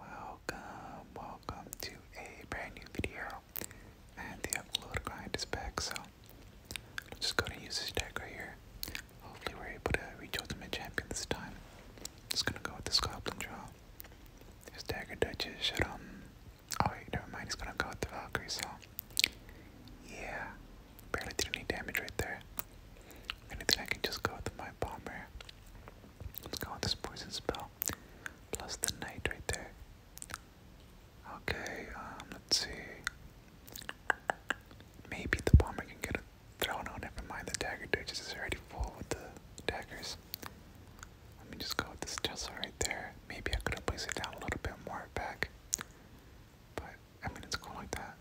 Welcome, welcome to a brand new video. And the upload grind is back, so I'm just gonna use this deck right here. Hopefully we're able to reach Ultimate Champion this time. Just gonna go with this Goblin Draw. His Dagger Duchess should um oh wait, never mind, he's gonna go with the Valkyrie, so yeah. Barely did any damage right there. I can just go with my bomber. Let's go with this poison spell. Plus the knight right there. Okay, um, let's see. Maybe the bomber can get a thrown on. Never mind, the dagger ditches is already full with the daggers. Let me just go with this Tesla right there. Maybe I could have it down a little bit more back. But, I mean, it's cool like that.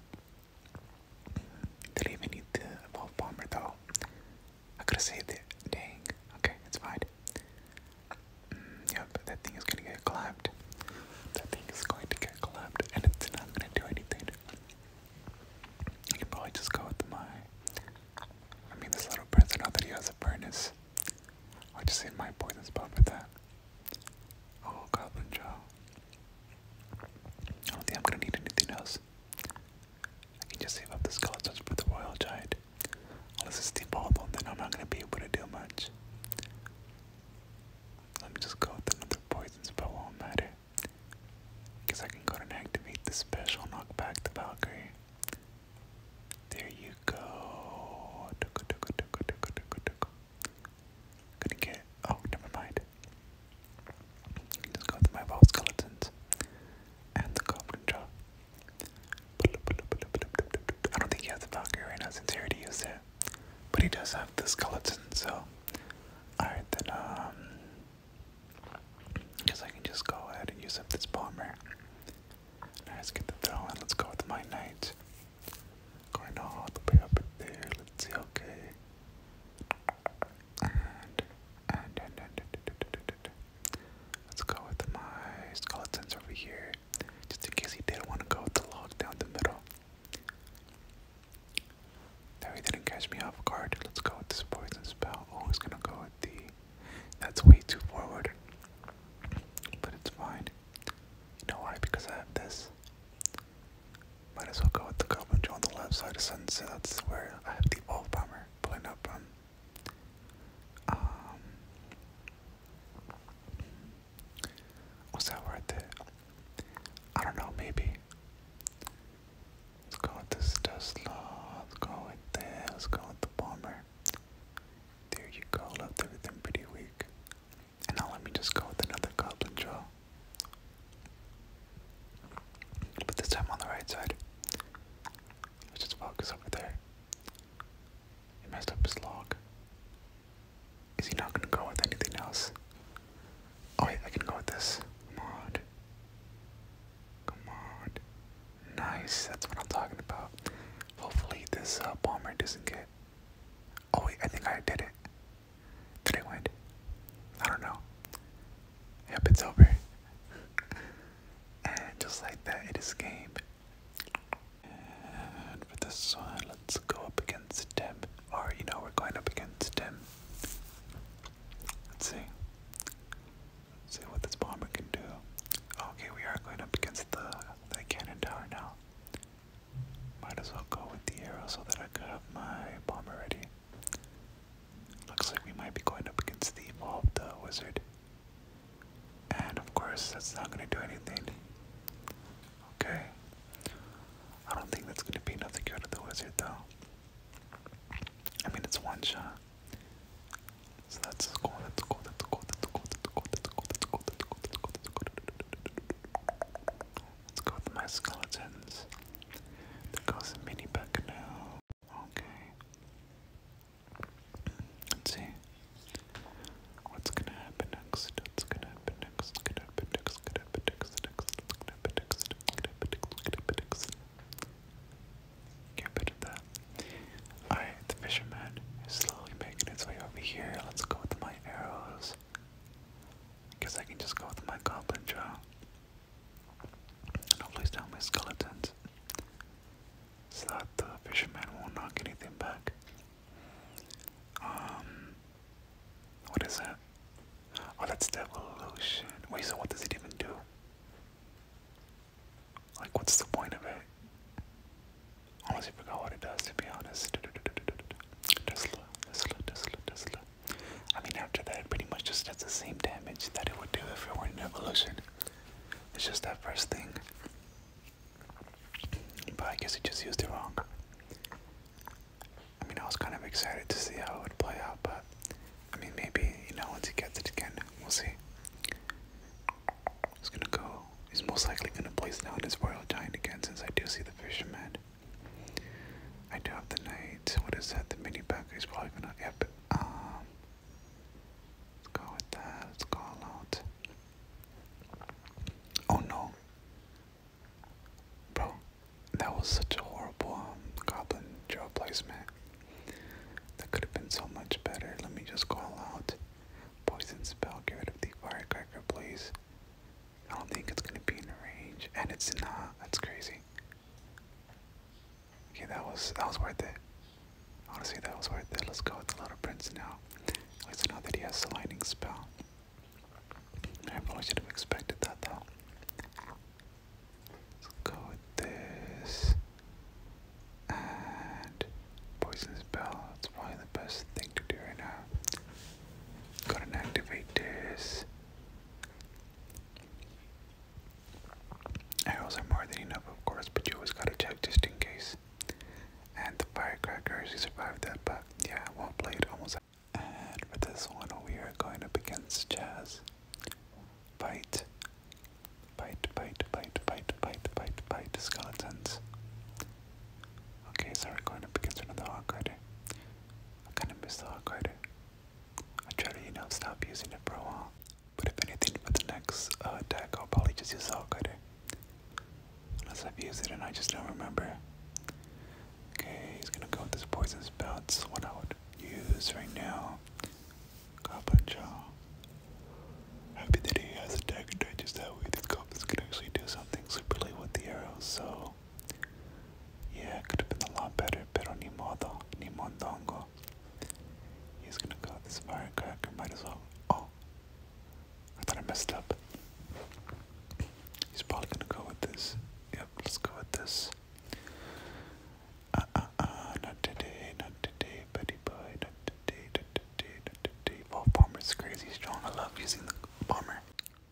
Didn't even need the evolve bomber though. I could have saved it. Dang. Okay, it's fine. Mm, yep, that thing is gonna get clapped. That thing is going to get clapped, and it's not gonna do anything. I can probably just go with my. I mean, this little person, not that he has a furnace. i just save my poison spot for that. Oh, Goblin Jaw. I don't think I'm gonna need anything else. I can just save up the skeletons for the royal giant. Unless it's the bottle, then I'm not gonna be able to do much. Let me just go with another poison spell, won't matter. Because I can go and activate the special knockback to Valkyrie. There you go. Gonna get. Oh, never mind. Let's go with my vault skeletons and the goblin jaw. I don't think he has the Valkyrie now since he already used it. But he does have the skeleton, so alright then um I can just go ahead and use up this bomber. Now let's get the throw and let's go with my knight. Going all the way up there, let's see, okay and, and, and, and, and let's go with my skeletons over here, just in case he did want to go with the log down the middle. Now he didn't catch me off guard. Let's go with this poison spell. Oh, he's gonna go with the. That's way too forward, but it's fine. You know why? Because I have this. Might as well go with the Goblin Joe on the left side of Sun, so that's where I have the All Bomber pulling up um, was that worth it? I don't know, maybe. go with this Tesla, go with this, let's go with the Bomber. There you go, left everything pretty weak. And now let me just go with another Goblin Joe. But this time on the right side. Let's just focus over there. He messed up his log. Is he not gonna go with anything else? Oh wait, I can go with this. Come on. Come on. Nice, that's what I'm talking about. Hopefully this bomber uh, doesn't get. Oh wait, I think I did it. Did I win? I don't know. Yep, it's over. and just like that, it is game. And for this one, let's go up against Tim. Or, you know, we're going up against Tim. Let's see. Let's see what this bomber can do. Okay, we are going up against the, the cannon tower now. Might as well go with the arrow so that I could have my bomber ready. Looks like we might be going up against the evolved uh, wizard. And of course, that's not going to do anything. Okay. I don't think that's going to be nothing good to the wizard, though. I mean, it's one shot. So that's cool, that's cool, that's cool, that's cool, that's cool, that's cool, that's cool, that's cool, that's cool, that's cool. Let's go with my skeletons. There goes the mini buck now. Okay. Let's see. What's gonna happen next? What's gonna happen next? Gonna happen next? Gonna happen next? Next? Gonna happen next? Gonna happen next? Gonna happen next? Get better at that. Alright, the fisherman is slowly making its way over here. Let's go with my arrows. I guess I can just go with my goblin jaw. And I'll place down my skeletons so that the fisherman won't knock anything back. Um, what is that? Oh, that's devolution. Wait, so what does it even do? Like, what's the point of it? I honestly forgot what it does, to be honest. Tesla, Tesla, Tesla, Tesla. I mean, after that, it pretty much just does the same damage that it would do if it were an evolution. It's just that first thing. But I guess it just used it wrong. I mean, I was kind of excited to see how it would play out, but I mean, maybe, you know, once he gets it again, we'll see. He's gonna go. He's most likely gonna place down his Royal Giant again since I do see the Fisherman. I do have the knight. What is that? The mini pack is probably gonna. Yep. Um. Let's go with that. Let's go out. Oh no. Bro, that was such a horrible um, goblin draw placement. That could have been so much better. Let me just call out. Poison spell. Get rid of the firecracker, please. I don't think it's gonna be in the range, and it's not. That's crazy. Okay, that was that was worth it. Honestly, that was worth it. Let's go with the lot of prints now. Let's I know that he has a lightning spell. I probably should have expected that though. Let's go with this. And Poisonous Bell, it's probably the best thing to do right now. Go and activate this. Arrows are more than enough, of course, but you always gotta check just in case. And the firecrackers, you survived that, but yeah, well played, almost. And for this one, we are going up against Jazz. Bite, bite, bite, bite, bite, bite, bite, skeletons. Okay, so we're going up against another Hawk Rider. I kind of miss the Hawk I try to, you know, stop using it for a while. But if anything, for the next uh, attack, I'll probably just use Soul Cutter. Unless I've used it and I just don't remember. Okay, he's gonna go with this Poison Spell. It's what I would use right now. Goblin Happy that he has attack and digest that way. This goblins can actually do something super with the arrows, so yeah, it could have been a lot better, pero ni modo, ni mondongo. He's gonna go this firecracker, might as well. Oh, I thought I messed up. He's probably gonna go with this. Yep, let's go with this. Uh uh uh, not today, not today, buddy boy, not today, not today, not today. Well, bomber's crazy strong. I love using the bomber.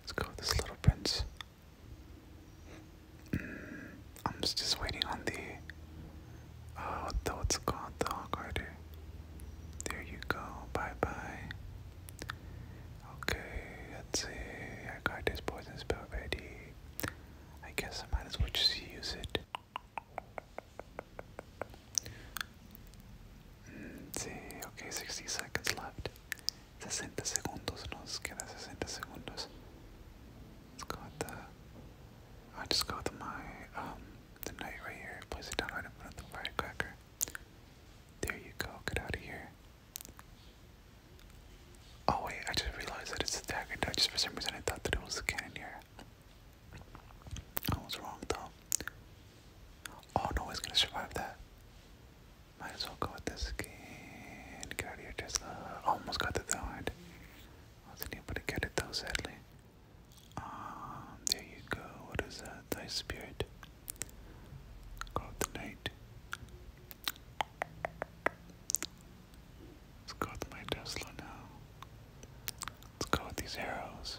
Let's go with this little prince. Mm, I'm just waiting on the. Oh, the, what's it called? The Hawk Rider. There you go. Bye bye. Okay, let's see. I got this poison spell ready. I guess I might as well just use it. Mm, sí, ok, 60 seconds left. 60 segundos, nos queda 60 segundos. It's got the. I just got my, um, the knight right here. Place it down right in front of the firecracker. There you go, get out of here. Oh, wait, I just realized that it's a dagger. I just for some reason I thought that it was a cannon here. I was wrong though. Oh no one's gonna survive that. Might as well go with this skin. Get out Tesla. Almost got the third. Wasn't able to get it though, sadly. Um, there you go. What is that? Thy spirit. Go with the knight. Let's go with my Tesla now. Let's go with these arrows.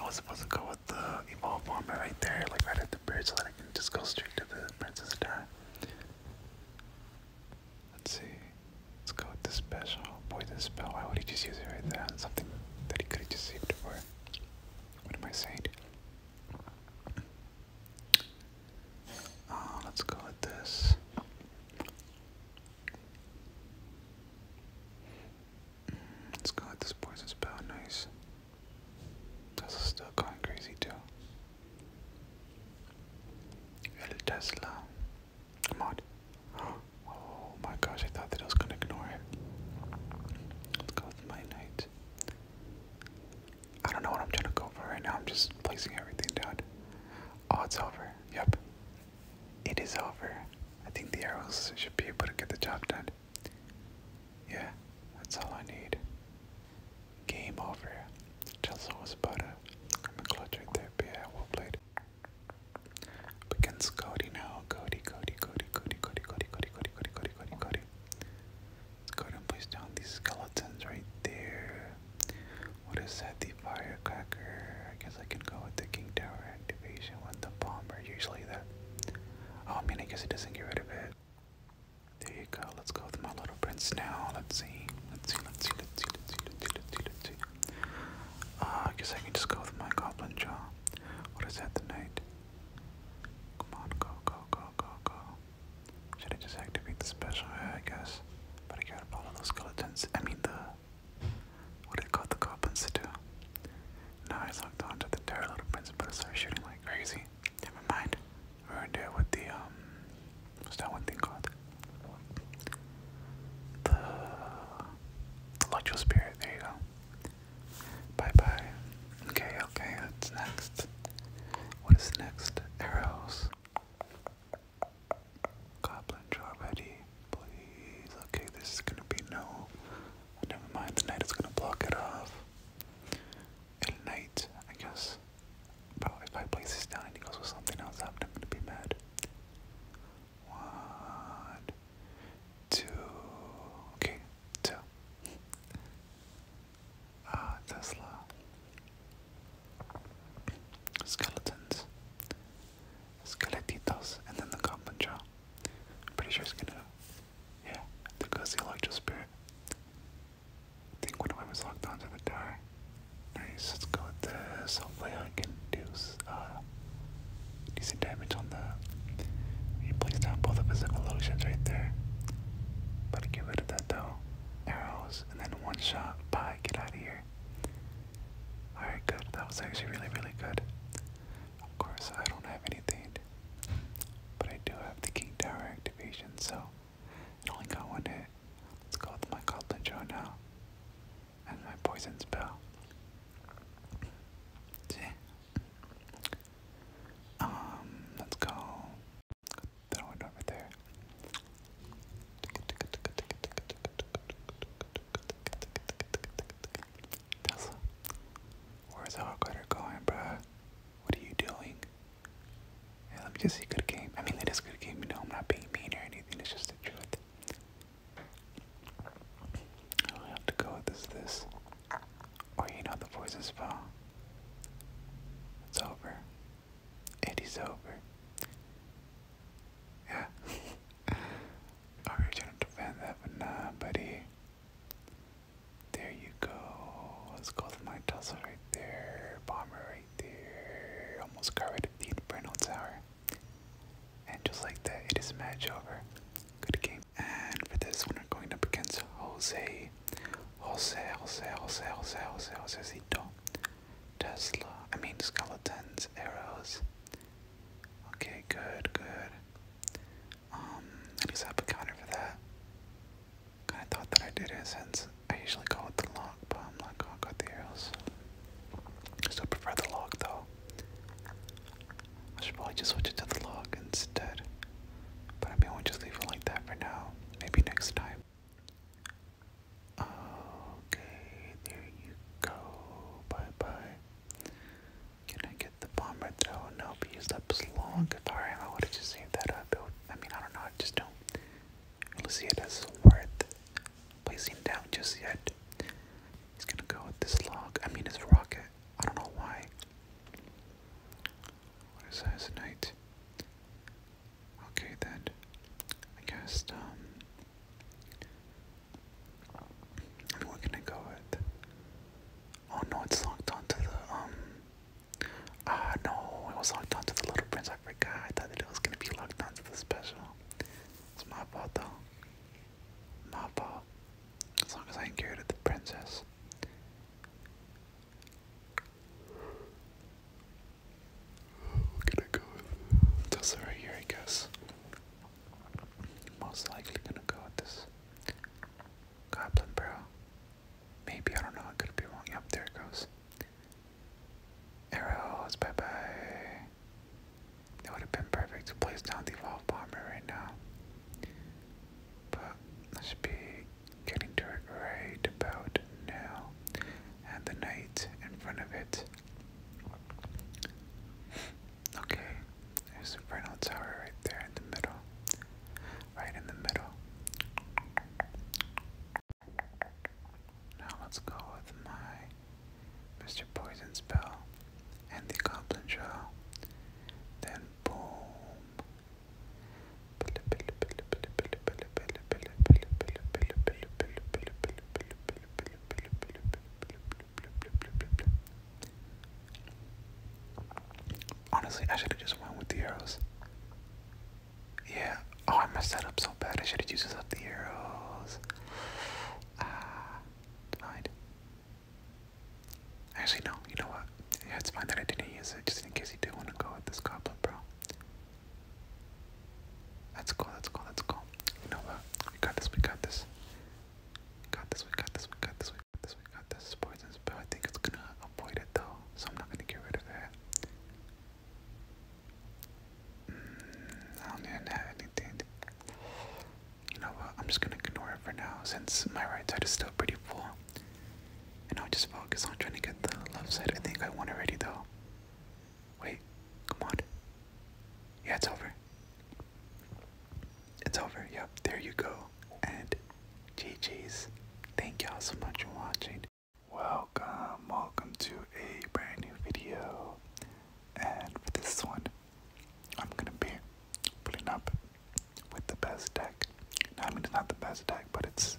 I was supposed to go with the evolve bomber right there, like right at the bridge, so that I can just go straight to the Princess Di. Let's see. Let's go with the special. Boy, this spell. Why would he just use it right there? Something that he could have just saved it for. What am I saying? Oh, let's go with this. Let's go with this poison spell, nice. That's still going crazy too. El Tesla. Come on. Oh my gosh, I thought that I was gonna ignore it. Let's go with my knight. I don't know what I'm trying to go for right now, I'm just placing everything down. Oh, it's over. Yep. It is over. I think the arrows should be able to get the job done. Yeah, that's all I need. Game over. Chelsea was about to come in clutch right there, but yeah, well played. against Cody now. Cody, Cody, Cody, Cody, Cody, Cody, Cody, Cody, Cody, Cody, Cody, Cody. and place down these skeletons right there. What is that? The firecracker. I guess I can go with the King Tower activation with the bomber. Usually that. Oh, I mean, I guess it doesn't get rid of it. There you go. Let's go with my little prince now. Let's see. Let's see. Let's see. Let's see. Let's see. Let's see. Let's see. Let's see. Uh, I guess I can just go with my goblin jaw. What is that? The knight. Come on, go, go, go, go, go. Should I just activate the special? Yeah, I guess. But I gotta follow those skeletons. I mean the what it got the goblins to do. Now I on to the terrible little principle and started shooting like crazy. Never mind. We are in there with the um what's that one thing called? The Electro Spirit, there you go. Bye bye. Okay, okay, that's next. What is next? Arrows. Goblin ready, please. Okay, this is gonna be no. Never mind, the knight is gonna block it off. El knight, I guess. Bro, if I place this down and he goes with something else, I'm gonna be mad. One, two, okay, two. Ah, Tesla. Skeletons. Skeletitos, and then the Kambancha. pretty sure it's gonna, yeah, to go see Spirit. think one of them is locked onto the tower. Nice, let's go with this. Hopefully I can do some uh, decent damage on the... He placed down both of his evolutions right there. But get rid of that though. Arrows, and then one shot. Bye, get out of here. Alright, good. That was actually really, really good. Of course, I don't have anything, but I do have the King Tower activation, so it only got one hit. Let's go with my Goblin Jaw now, and my Poison Spell. Um, let's go. Throw it over there. Tesla, where's Hawkrider going, bro? What are you doing? let me just see good game. I mean, it is good game, you know, I'm not being mean or anything, it's just the truth. I have to go with this, this. Oh, or, you know, the poison spell. It's over. It is over. Yeah. Oh, you're trying to defend that, but nah, buddy. There you go. Let's go with my tussle right there. Bomber right there. Almost got the Inferno Tower. And just like that, it is match over. Good game. And for this one, I'm going up against Jose. Jose, Jose, Jose, Jose, Jose, Josecito. Tesla, I mean skeletons, arrows. Okay, good, good. Um, I just have for that. Kinda thought that I did it since I usually go with the lock, but I'm not going with the arrows. Still prefer the lock though. I should probably just switch it to the lock instead. But I mean, we'll just leave it like that for now. Maybe next time. Okay, there you go. Bye bye. Can I get the bomber throw? there? Oh no, but used up long. If I, I would have just saved that up. I mean, I don't know. I just don't really see it as worth placing down just yet. He's gonna go with this log. I mean, his rocket. I don't know why. What is that? It's night. Okay then. I guess um, I we're gonna go with. Oh no, it's locked onto the Ah um, no, it was locked onto the Little Prince. I I thought that it was gonna be locked onto the special. It's my fault though. My fault. As long as I can get rid of the princess we gonna go with this right here, I guess. Most likely gonna go with this goblin Maybe I don't know. could be wrong. Yep, there it goes. Arrows, bye bye. It would have been perfect to place down the evolved bomber right now, but I should be getting to it right about now. And the knight in front of it Okay, there's a Rental Tower right there in the middle. Right in the middle. Now let's go with my Mr. Poison spell and the Goblin Shell. Then boom. Honestly, I should have just went with the arrows. Yeah. Oh, I messed that up so bad. I should have used up the arrows. Ah, denied. Actually, no. You know what? Yeah, it's fine that I didn't use it, just in case you do want to go with this goblin, bro. Let's go, let's go, let's go. You know what? We got this, we got this. We got this, we got this, we got this, we got this, we got this. Poison spell, I think it's gonna avoid it though, so I'm not gonna get rid of that. Mm, I don't even have anything. You know what? I'm just gonna ignore it for now since my right side is still pretty full. And I'll just focus on trying to get the left side. I think I won already though. Wait, come on. Yeah, it's over. It's over. Yep, there you go. And GG's. Thank y'all so much for watching. Welcome, welcome to a brand new video. And for this one, I'm gonna be putting up with the best deck. I mean, it's not the best deck, but it's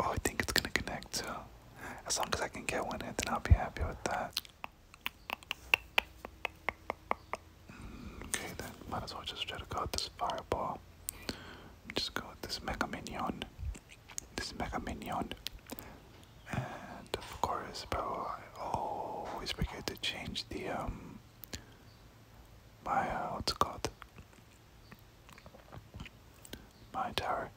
Oh, I think it's gonna connect too. As long as I can get one in, then I'll be happy with that. Mm, okay, then might as well just try to go with this fireball. Just go with this Mega Minion. This Mega Minion. And of course, bro, I always forget to change the, um, my, uh, what's it called? My tower.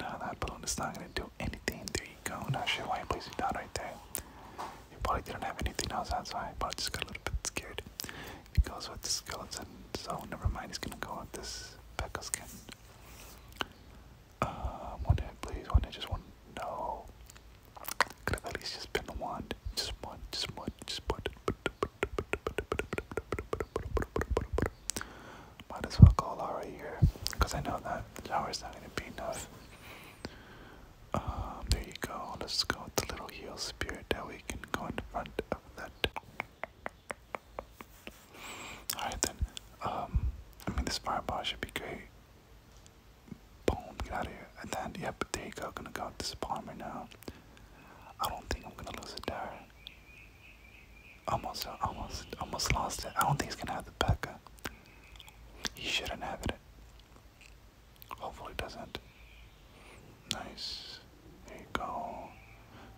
No, that balloon is not gonna do anything. There you go. Not sure why you place your dot right there? You probably didn't have anything else outside. So probably just got a little bit scared. He goes with the skeleton, so never mind. He's gonna go with this Pekka skin. Um, one hit, please. One hit, just one. No. Could have at least just been the wand. Just one, just one, just put. Might as well call Laura here, because I know that the shower's not going to be enough. Um, there you go. Let's go with the little heel spirit that we can go in front of that. Alright then. Um, I mean, this fireball should be great. Boom, get out of here. And then, yep, there you go. Gonna go with this bomb now. I don't think I'm gonna lose a dare. Almost, almost, almost lost it. I don't think he's gonna have the P.E.K.K.A. He should inhabit it. Hopefully doesn't. Nice. There you go.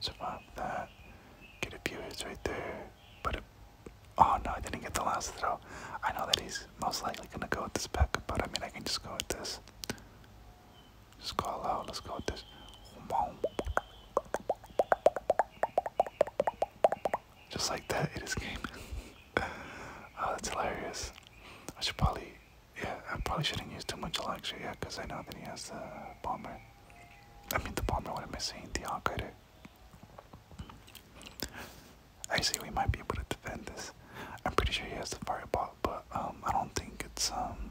Survive that. Get a few hits right there. But oh no, I didn't get the last throw. I know that he's most likely gonna go with this P.E.K.K.A. But I mean, I can just go with this. Let's go loud. Let's go with this. Just like that, it is game. oh, that's hilarious. I should probably, yeah, I probably shouldn't use too much Electra, yeah, because I know that he has the bomber. I mean, the bomber, what am I saying? The I Actually, we might be able to defend this. I'm pretty sure he has the fireball, but um, I don't think it's um,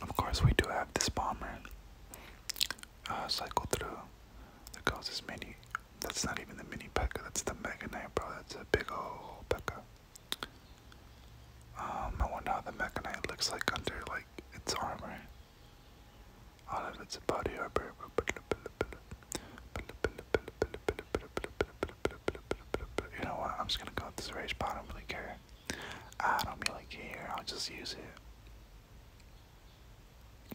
Of course, we do have this bomber uh, cycle through. There goes this mini. That's not even the mini P.E.K.K.A. That's the Mega Knight, bro. That's a big old P.E.K.K.A. Um, I wonder how the Mega Knight looks like under like its armor. All of its body armor. You know what? I'm just gonna go with this rage. I don't really care. I don't really care, I'll just use it.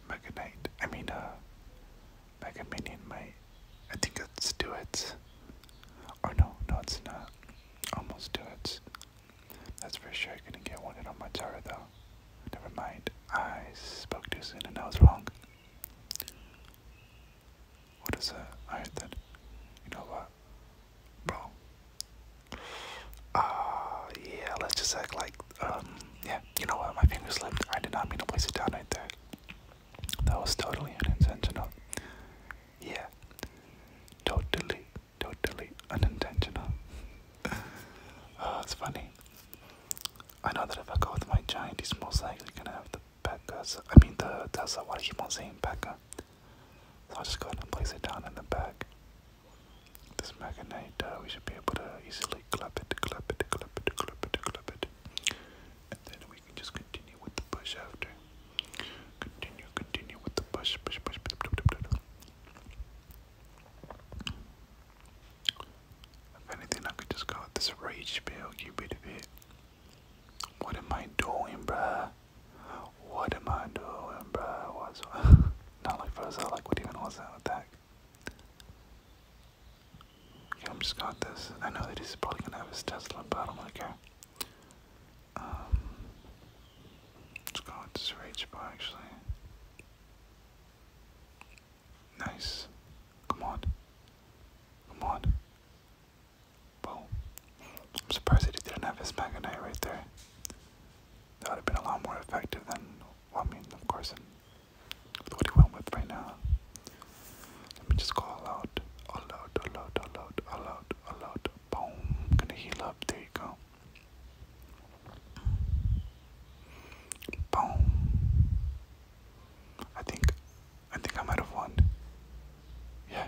Mega Knight, I mean, uh, Mega Minion might. I think it's do it. Or no, no, it's not. Almost do it. That's for sure. I gonna get one hit on my tower though. Never mind. I spoke too soon and I was wrong. What is that? Alright then. You know what? bro. Uh, yeah, let's just act like, um, yeah, you know what, my finger slipped. I did not mean to place it down right there. That was totally unintentional. Yeah, totally, totally unintentional. uh, oh, it's funny. I know that if I go with my giant, he's most likely gonna have the back. Pekka. I mean, the that's what I keep on saying, Pekka. So I'll just go ahead and place it down in the back. This Magnite, uh, we should be able to easily clap it, clap it, clap it, clap it, clap it. And then we can just continue with the push after. Continue, continue with the push, push, push, push, push, push, push. If anything, I could just call it this rage spell, get rid of it. What am I doing, bruh? What am I doing, bruh? What's not like first I like what even was that attack? Okay, I'm just got this. I know that he's probably gonna have his Tesla, but I don't really care. Um let's go with this rage bar actually. Nice. Come on. Come on. Boom. I'm surprised that he didn't have his Mega Knight right there. That would have been a lot more effective than, well, I mean, of course, what he went with right now. Let me just go all out. All out, all out, all out, all out, all out. Boom. gonna heal up. There you go. Boom. I think I think I might have won. Yeah,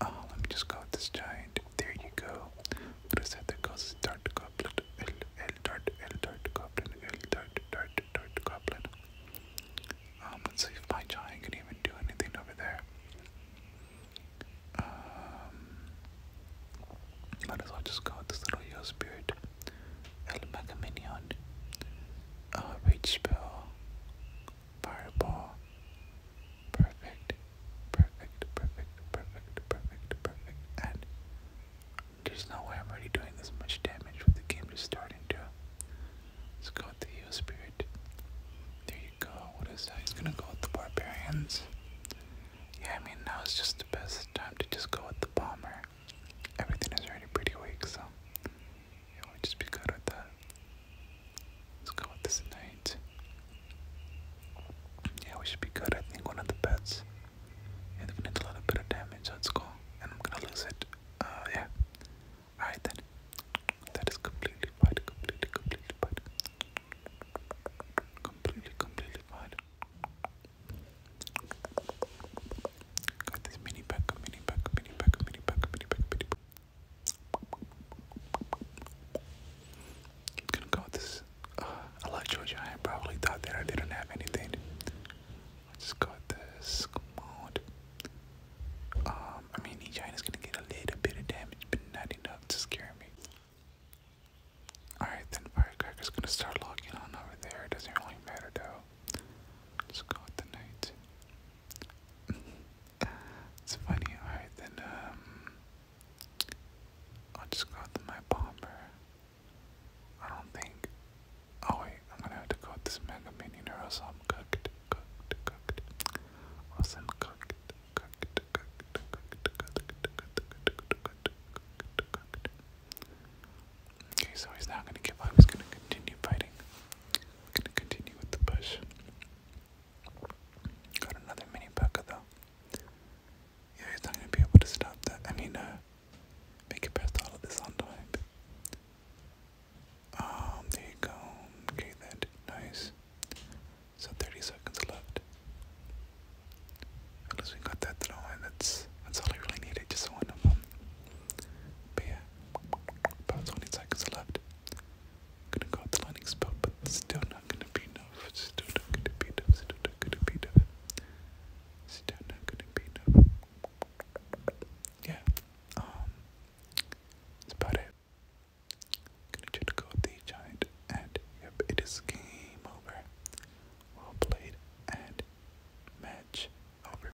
Uh, let me just go with this giant. There you go. Reset the causes dart goblin. L L dart L dart goblin. L dart dart dart goblin. Um, let's see if my giant can even do anything over there. Um might as well just go with this little yo spirit. El Mega Minion. Uh rage spell. Fireball. Perfect. Perfect. Perfect. Perfect. Perfect. Perfect. And there's no way I'm already doing this much damage with the game just starting to. Let's go with the Heal Spirit. There you go. What is that? He's gonna go with the Barbarians. Yeah, I mean, now is just the best time to just go with the Bomber. Everything is already pretty weak, so it would just be good with that. Let's go with this night. Yeah, we should be good. I think one of the bets. Yeah, they've a little bit of damage. Let's And I'm gonna lose it. Uh, yeah. Alright then. That is completely fine. Completely, completely fine. Completely, completely fine. Got this mini pack, mini pack, mini pack, mini pack, mini pack, mini pack. i gonna go this. Uh, I like Georgia. I probably thought that I didn't have anything. I just got this. Come on. Um, I mean, Georgia is gonna get a little bit of damage, but not enough to scare me. Alright, then Firecracker's gonna start locking on over there. It doesn't really matter though. Just go the knight it's funny, alright, then, um, i just go my bomber. I don't think, oh wait, I'm gonna have to go this Mega Minion or I'm cooked, cooked, cooked, or else I'm cooked, cooked, cooked, cooked, cooked, cooked, cooked, cooked, cooked. Okay, so he's not gonna give up, he's gonna continue fighting. Gonna continue with the push. Got another mini P.U.C.K.A. though. Yeah, he's not gonna be able to stop that. I mean, uh, make it past all of this on time. Um, there you go. Okay, that nice. So 30 seconds left. At we got that throw in. That's that's all I really needed. Just one of them. But yeah, about 20 seconds left. Gonna go up the landing spot, but still not gonna be enough. Still not gonna be enough. Still not gonna be enough. Still not gonna be enough. Yeah, um, that's about it. Gonna try to go with the giant, and yep, it is game over. Well played, and match over.